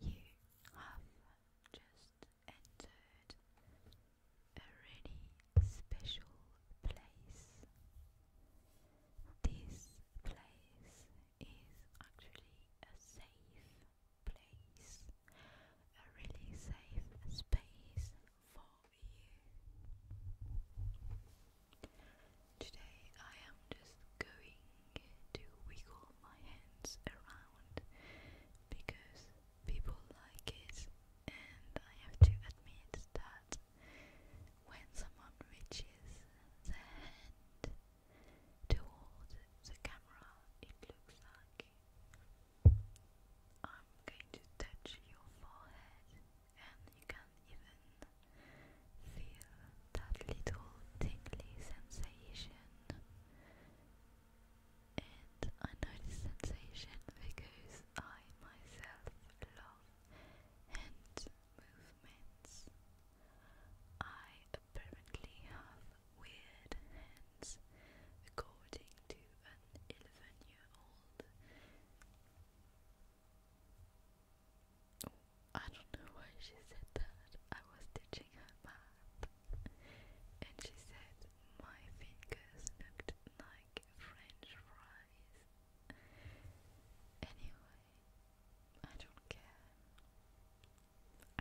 You have just entered a really special place. This place is actually a safe place, a really safe space for you. Today I am just going to wiggle my hands around because people like it and I have to admit that when someone reaches their hand toward the camera it looks like I'm going to touch your forehead and you can even feel that little tingly sensation. And I know this sensation because I myself love hand movements. I apparently have weird hands, according to an 11 year old. I don't know why she said that. I was teaching her math, and she said my fingers looked like French fries. Anyway, I don't care.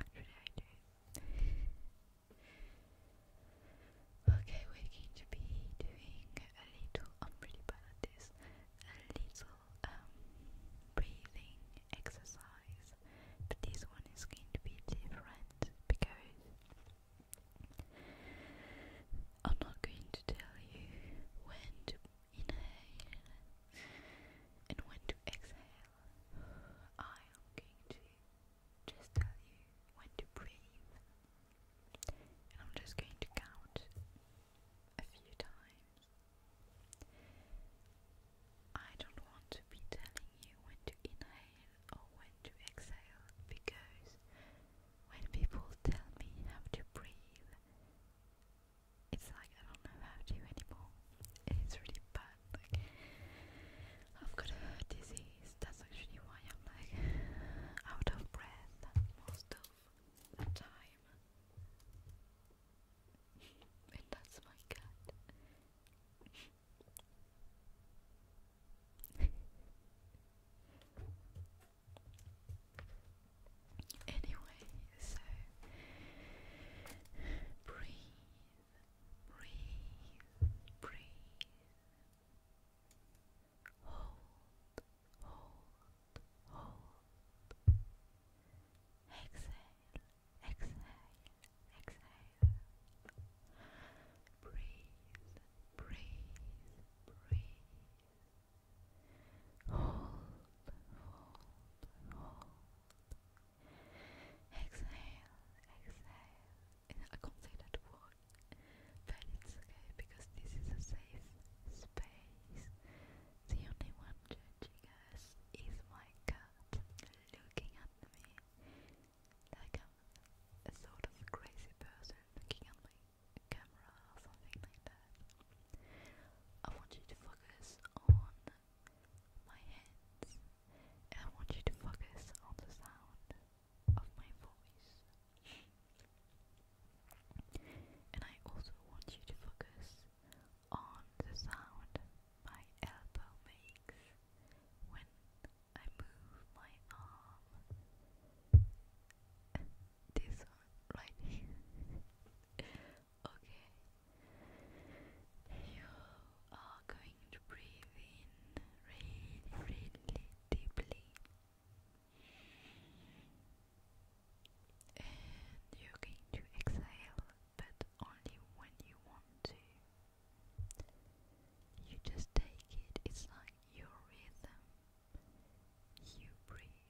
Actually, I do. okay, we're going to be doing a little. I'm really bad at this. A little um, breathing exercise, but this one is going to be different because I'm not going to tell you when to inhale and when to exhale. I am going to just tell you when to breathe, and I'm just going to count a few times. I don't want to be telling you when to inhale or when to exhale because when people tell me how to breathe, it's like I don't know how to anymore. It's really bad. Like I've got a disease. That's actually why I'm like out of breath most of the time. and that's my cat. anyway, so breathe, breathe, breathe hold, hold, hold. Exhale, exhale, exhale. Breathe, breathe, breathe. Hold, hold, hold. Exhale, exhale. I can't say that word but it's okay because this is a safe space. The only one judging us is my cat looking at me like I'm a sort of crazy person looking at my camera or something like that. I want you to focus on my hands and I want you to focus on the sound of my voice. And I also want you to focus on the sound my elbow makes when I move my arm. This one right okay. You are going to breathe in really, really deeply and you're going to exhale, but only when you want to. You just take it, it's like your rhythm. You breathe.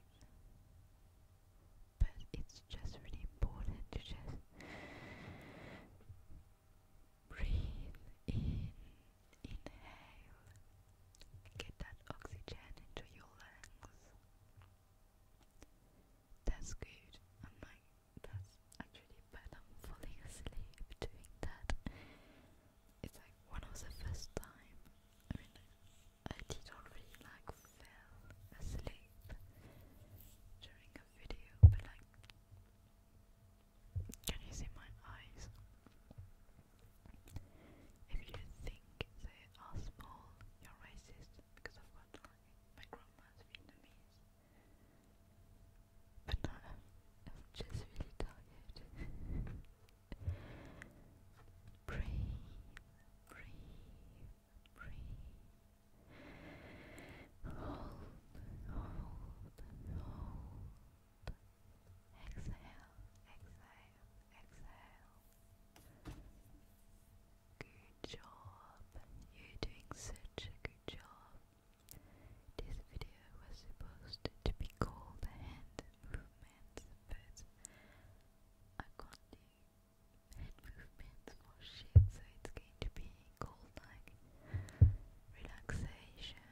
But it's just really important to just breathe in Inhale. Get that oxygen into your lungs. That's good. I'm like, that's actually bad. falling asleep doing that. It's like one of the first time. I did already like fell asleep during a video, but like, can you see my eyes? If you think they are small, you're racist because I've got my grandma's Vietnamese. But no, um, I'm just really tired. breathe, breathe, breathe. Hold, hold, hold exhale, exhale, exhale. Good job. You're doing such a good job. This video was supposed to be called hand movements, but I can't do head movements for shit, so it's going to be called like relaxation,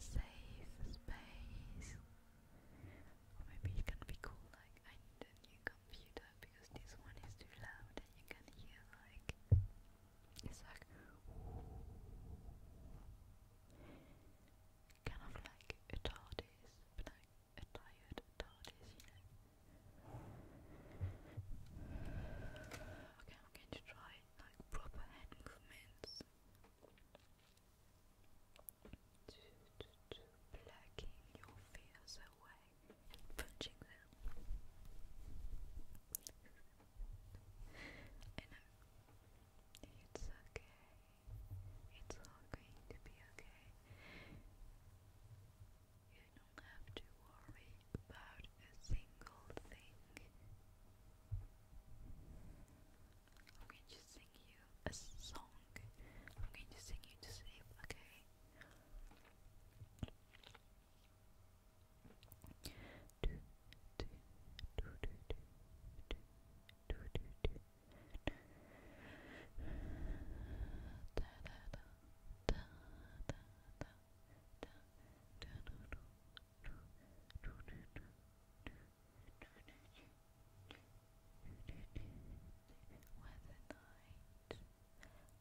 safe space, maybe you can be cool like I need a new computer because this one is too loud and you can hear like it's like kind of like a TARDIS, but like a tired TARDIS, you Okay, I'm going to try like proper hand movements to, plucking your fears away and punching them. I it's okay. It's all going to be okay. You don't have to worry about a single thing. I'm going to sing you a song. I'm going to sing you to sleep, okay? Weather night.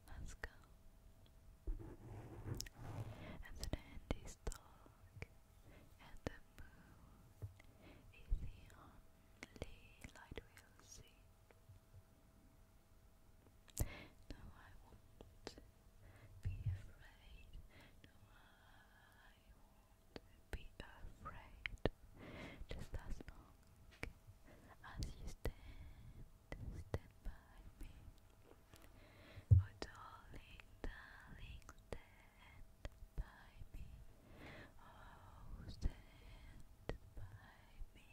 Let's go. And the land is and the moon is light we'll see. No, I won't be afraid won't be afraid. Just as long as you stand, stand by me. Oh, darling, darling, stand by me. Oh, stand by me.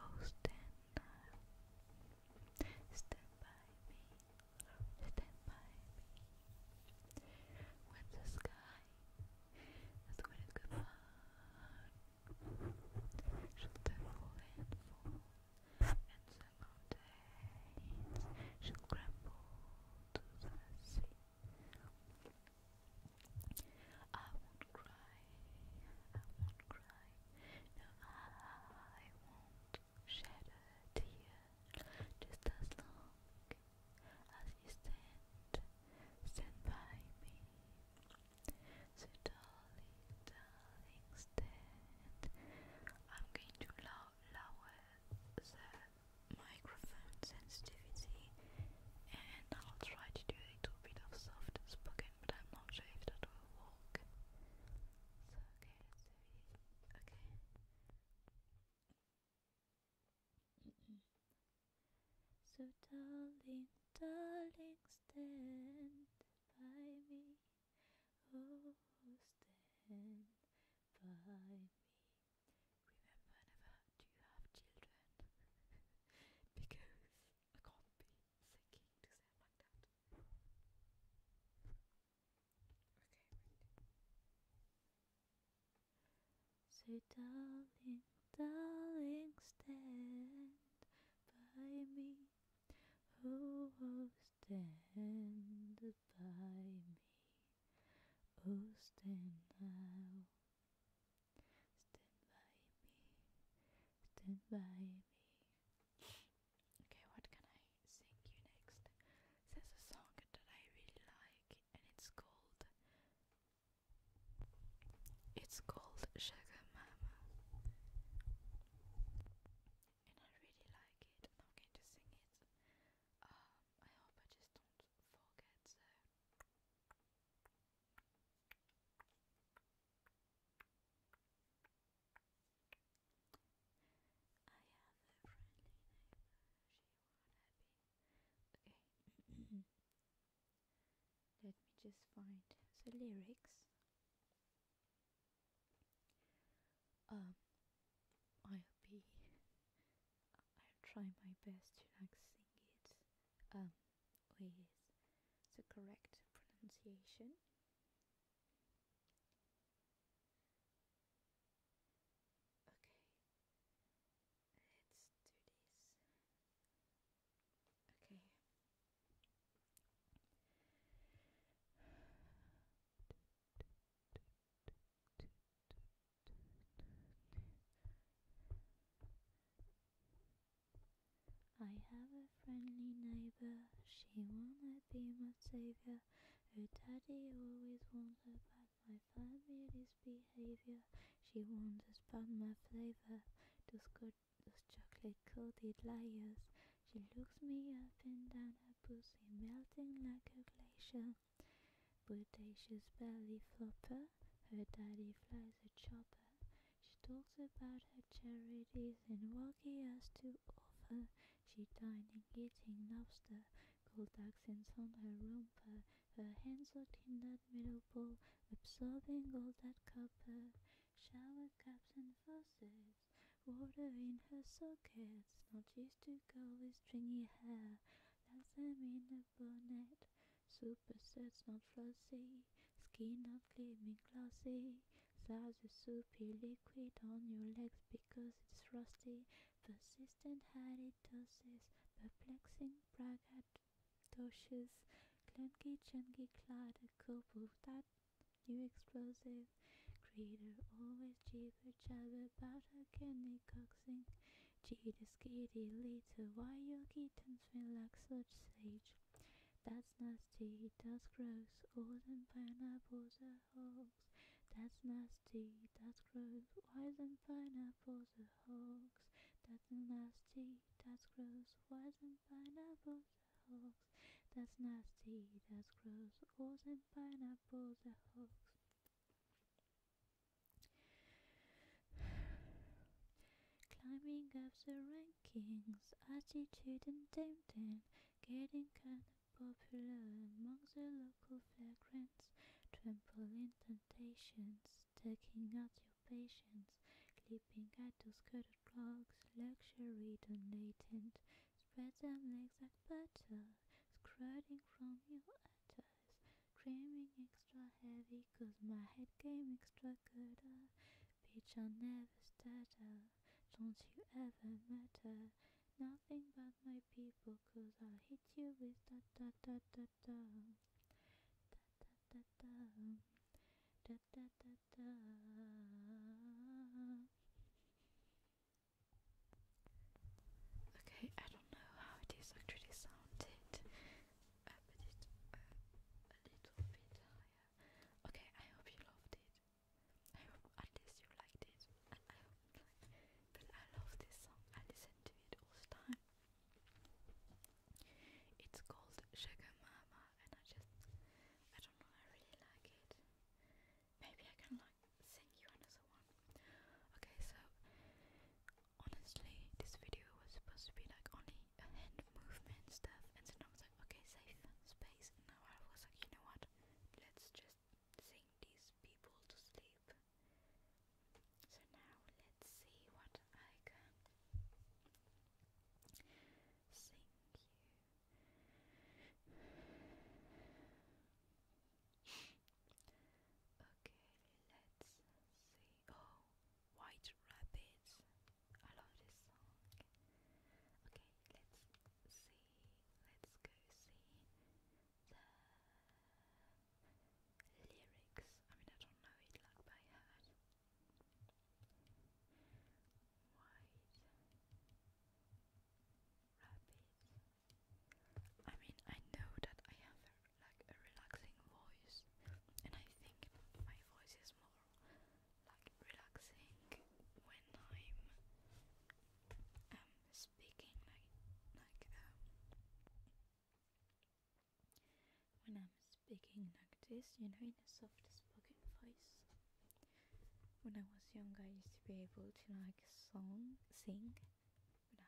Oh, stand now. Stand by me, stand by me. When the sky is when it goodbye, shall tremble and fall, and the mountains shall crumble to the sea. I won't cry, I won't cry, no, I won't shed a tear just as long as you stand, by me. So darling, darling, stand. I'm going to lower the microphone sensitivity and I'll try to do a little bit of soft spoken, but I'm not sure if that will work. okay, so, darling, darling, stand by me. Oh, stand by me. Remember, never do you have children because I can't be thinking to say like that. Okay, right. Say, darling, darling, stand by me. Oh, oh stand by me. Oh, stand now. Stand by me. Stand by me. Okay, what can I sing you next? There's a song that I really like, and it's called It's called Sugar Mama, and I really like it, I'm going to sing it. Um, I hope I just don't forget. So. I have a friendly neighbor, she won't happy. Okay. Let me just find the lyrics. Um I'll be I'll try my best to like sing it um with the correct pronunciation. Okay, let's do this. Okay. I have a friendly neighbor. She wanna be my savior. Her daddy always warns her about my family's behavior. She warns us about my flavor. Those, good, those chocolate coated layers. She looks me up and down, her pussy melting like a glacier. Bodacious belly flopper. Her daddy flies a chopper. She talks about her charities and walkie has to of her. She dined in eating lobster, gold accents on her romper, her hands looked in that middle bowl, absorbing all that copper. Shower caps and vases, water in her sockets, not used to go with stringy hair, them in a bonnet. Super sets not flossy, skin not gleaming glossy. Slide the soupy liquid on your legs because it's rusty. Persistent halitosis, perplexing braggadocious, clunky chunky clad, a cup of that new explosive. Creator always jibber jabber about her candy coxing. Jitty skiddy little, why your kittens feel like such sage? That's nasty, that's gross, all them pineapples are hogs. That's nasty, that's gross, why them pineapples are hogs? That's nasty, that's gross, why them pineapples are hogs? That's nasty, that's gross, all them pineapples are hogs. Climbing up the rankings, attitude and content, getting kinda popular among the local vagrants, trampling temptations, taking out your patience, clipping at those cutted rocks, luxury done spread them legs like butter, squirting from your udders, screaming extra heavy 'cause my head game extra gooder, uh, bitch I never stutter, don't you ever matter Nothing but my people Cause I'll hit you with da da da da da Da da da da Da da da da Okay, I don't know how it is actually sounded I uh, put it uh, a little bit higher Okay, I hope you loved it. I hope at least you liked it. but I love this song. I listen to it all the time. It's called Sugar Mama and I just I don't know, I really like it. Maybe I can like sing you another one. Okay, so honestly this video was supposed to be like only hand movement stuff. And then I was like, okay, safe space. now I was like, you know what? Let's just sing these people to sleep. So now let's see what I can sing you. okay, let's see. Oh, white rabbits. I love this song. Okay, let's see. Let's go see the lyrics. I mean, I don't know it like by heart. White rabbit. I mean, I know that I have like a relaxing voice, and I think my voice is more like relaxing when I'm um, speaking like like um when I'm speaking like this, you know, in a soft spoken voice. When I was young, I used to be able to like song, sing, like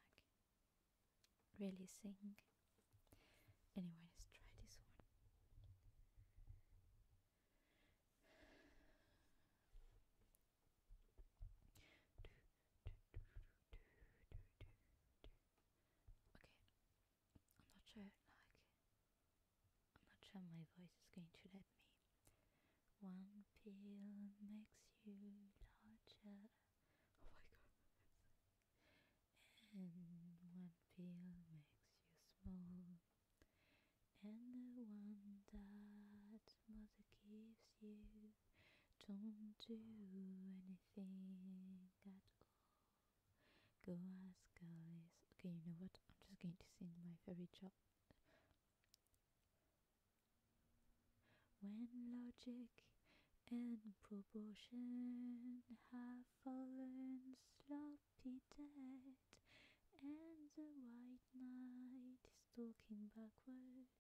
really sing Anyway, let's try this one. Okay, I'm not sure, like, I'm not sure my voice is going to let me. One pill makes you larger. Oh my god. And one pill makes you small, and the one that mother gives you don't do anything at all. Go ask Alice. Okay, you know what? I'm just going to sing my favorite song. When logic and proportion have fallen sloppy dead, and the white knight is talking backwards,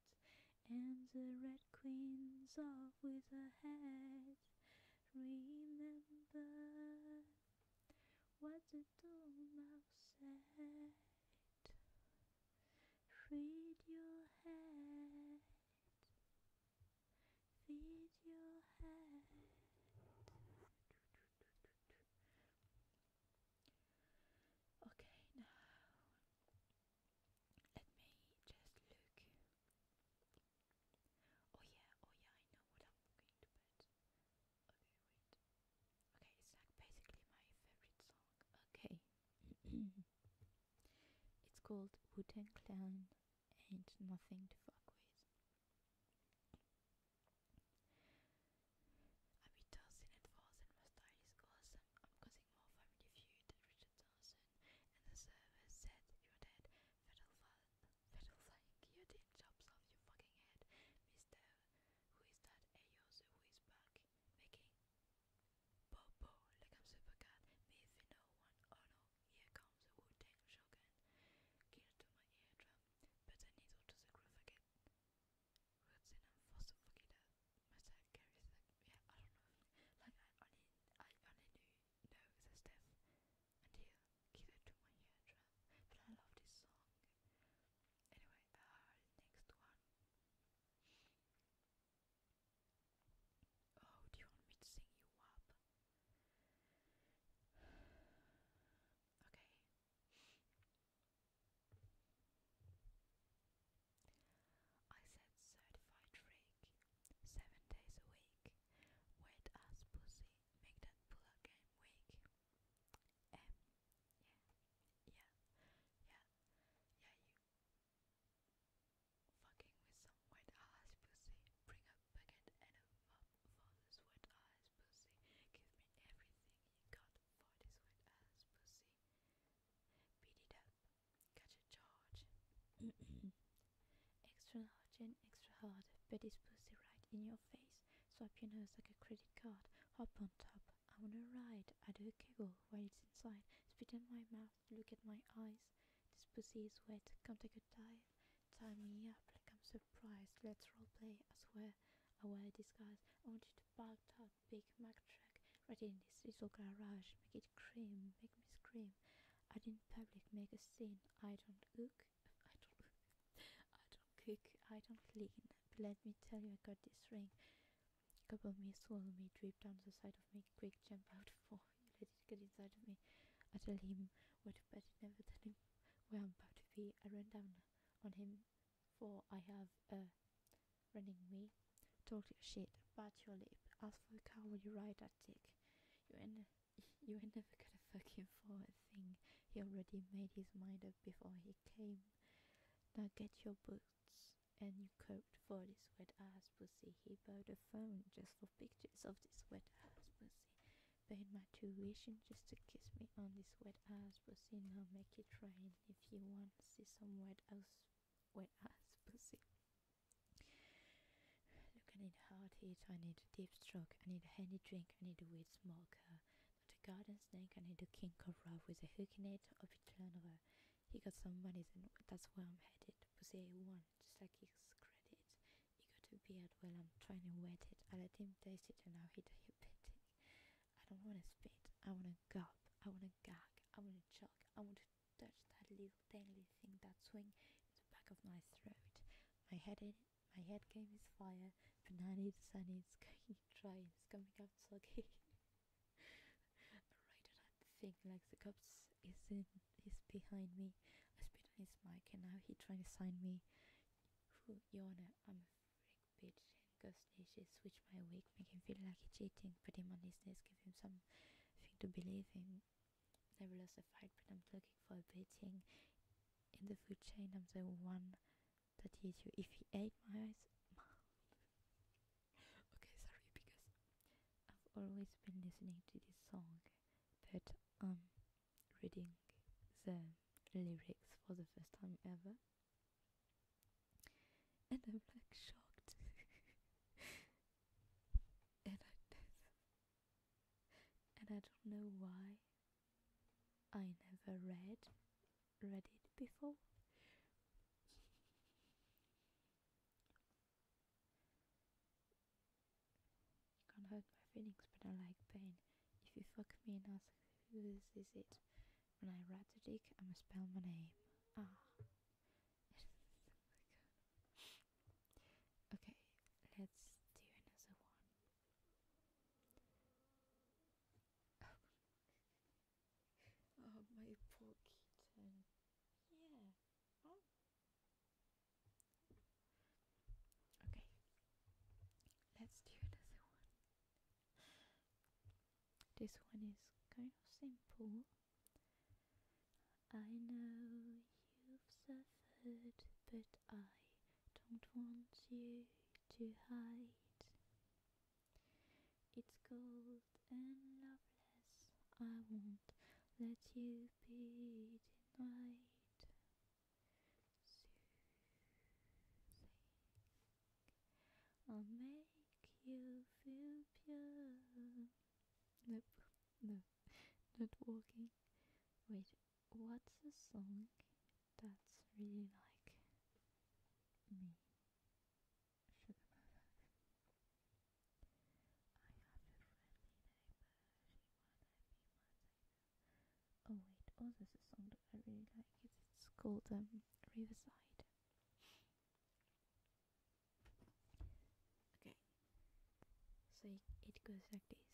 and the red queen's off with her head. Remember what the dormouse said. Read your head. Feed your head. Okay, now let me just look. Oh yeah, oh yeah, I know what I'm going to put. Okay, it's like basically my favorite song. Okay. it's called Wooden Tang Clan ain't nothing to fuck with. Abby Dawson and Fawson mustache is I'm causing more family feud. Richard Dawson and the server said you're dead. Federal, federal like you did chops off your fucking head. Mister, who is that? Ayos, who is back? Making Bobo, like I'm super cat. Me if one. Oh no, here comes the Wu-Tang Shogun, to my eardrum, but a needle to the groove again. Roots in a fossil forget Mustang carries the, yeah, I don't know, like I only, I only knew, know the stuff until gear to my eardrum, but I love this song. Anyway, uh, next one. Oh, do you want me to sing you up? Okay. I said certified freak, seven days a week. Wet ass pussy, make that pull up weak. yeah, yeah, yeah, yeah, you fucking with some wet ass pussy. Bring a bucket and a mop for this wet ass pussy. Give me everything you got for this wet ass pussy. Beat it up. Catch a charge. extra large and extra hard. Bet this pussy right in your face. Swap your nose like a credit card. Hop on top. I wanna ride. I do a kegel while it's inside. Spit in my mouth. Look at my eyes. This pussy is wet. Come take a dive. Tie me up like I'm surprised. Let's play, I swear a weird disguise. I want you to park that Big Mac truck right in this little garage. Make it cream. Make me scream. I in public make a scene. I don't cook. I don't. I don't cook. I don't clean. But let me tell you, I got this ring. Couple me, swallow me, drip down the side of me, quick jump out for you let it get inside of me. I tell him what to bet, never tell him where I'm about to be. I run down on him, for I have a running me. Talk your shit, bite your lip, ask for a car while you ride that dick. You ain't, you ain't never gonna fuck him for a thing. He already made his mind up before he came. Now get your boots and your coat for this wet ass pussy. He bought a phone just for pictures of this wet ass pussy. Paying my tuition just to kiss me on this wet ass pussy. Now make it rain if you want to see some wet ass, wet ass pussy. Look, I need a hard hit, I need a deep stroke, I need a handy drink, I need a weed smoker. Not a garden snake, I need a king cobra with a hook in it or He got some money, so that's where I'm headed. Pussy one one. like his credit. He got a beard while I'm trying to wet it. I let him taste it and now he diabetic. I don't want to spit. I want to gulp. I want to gag. I want to choke. I want to touch that little dangly thing that swing in the back of my throat. My head in my head game is fire, Banana now it's sunny, it's going dry, it's coming out soggy. right at that thing like the cups is in he's behind me. I spit on his mic and now he's trying to sign me. Whew, Your Honor, I'm a freak bitch and Ghost switch my wig, make him feel like he's cheating, put him on his knees, give him something to believe in. Never lost a fight, but I'm looking for a beating. In the food chain, I'm the one that eats you. If he ate my eyes, okay, sorry, because I've always been listening to this song, but um, reading the lyrics for the first time ever, and I'm like shocked. and I and I don't know why I never read read it before. You Can't hurt my feelings, but I like pain. If you fuck me and ask who this is it, when I write the dick, I must spell my name. Ah. okay, let's do another one. Oh, my poor kitten. Yeah. Okay. Let's do another one. This one is kind of simple. I know you've suffered, but I don't want you to hide. It's cold and loveless. I won't let you be denied. I'll make you feel pure. Nope, no, not walking. Wait, what's a song that's really like me? Oh wait, oh there's a song that I really like. It's, it's called um, Riverside. Okay. So it goes like this.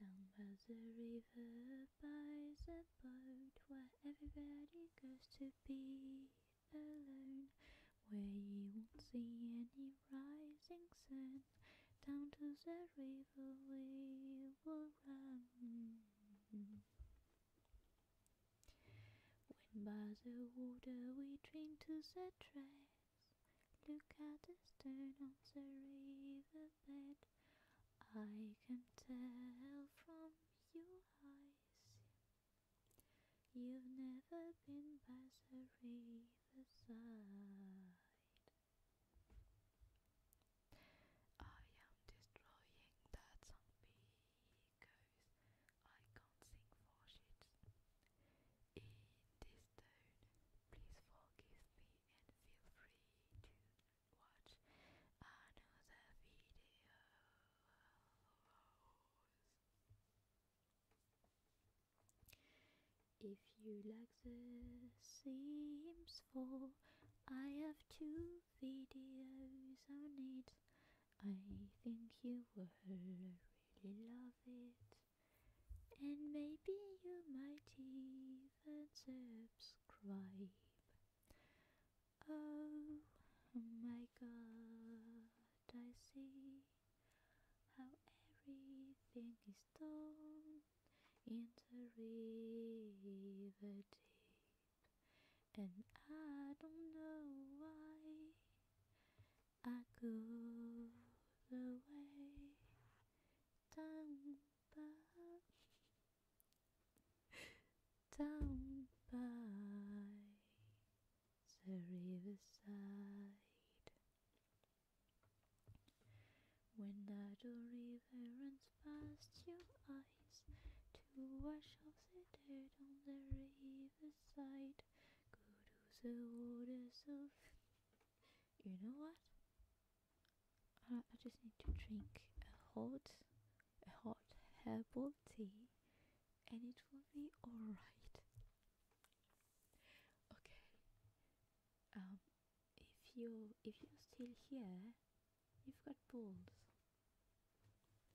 Down by the river lullabies about where everybody goes to be alone, where you won't see any rising sun. Down to the river we will run. When by the water we drink to the trees, look at the stone on the river I can tell from your eyes. You've never been past the side. I am destroying that song because I can't sing for shit. In this tone, please forgive me and feel free to watch another video. If you like The Sims 4, I have two videos on it. I think you will really love it. And maybe you might even and subscribe. Oh my god, I see how everything is done in the and I don't know why I go the way Down down by the riverside. When the river runs past your eyes, to wash off the dirt on the riverside, go to the waters of. You know what? Uh, I, just need to drink a hot, a hot herbal tea, and it will be alright. Okay. Um, if you if you're still here, you've got balls.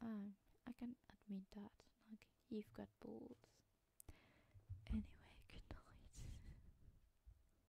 Um, I can admit that. you've got balls. Anyway, good night.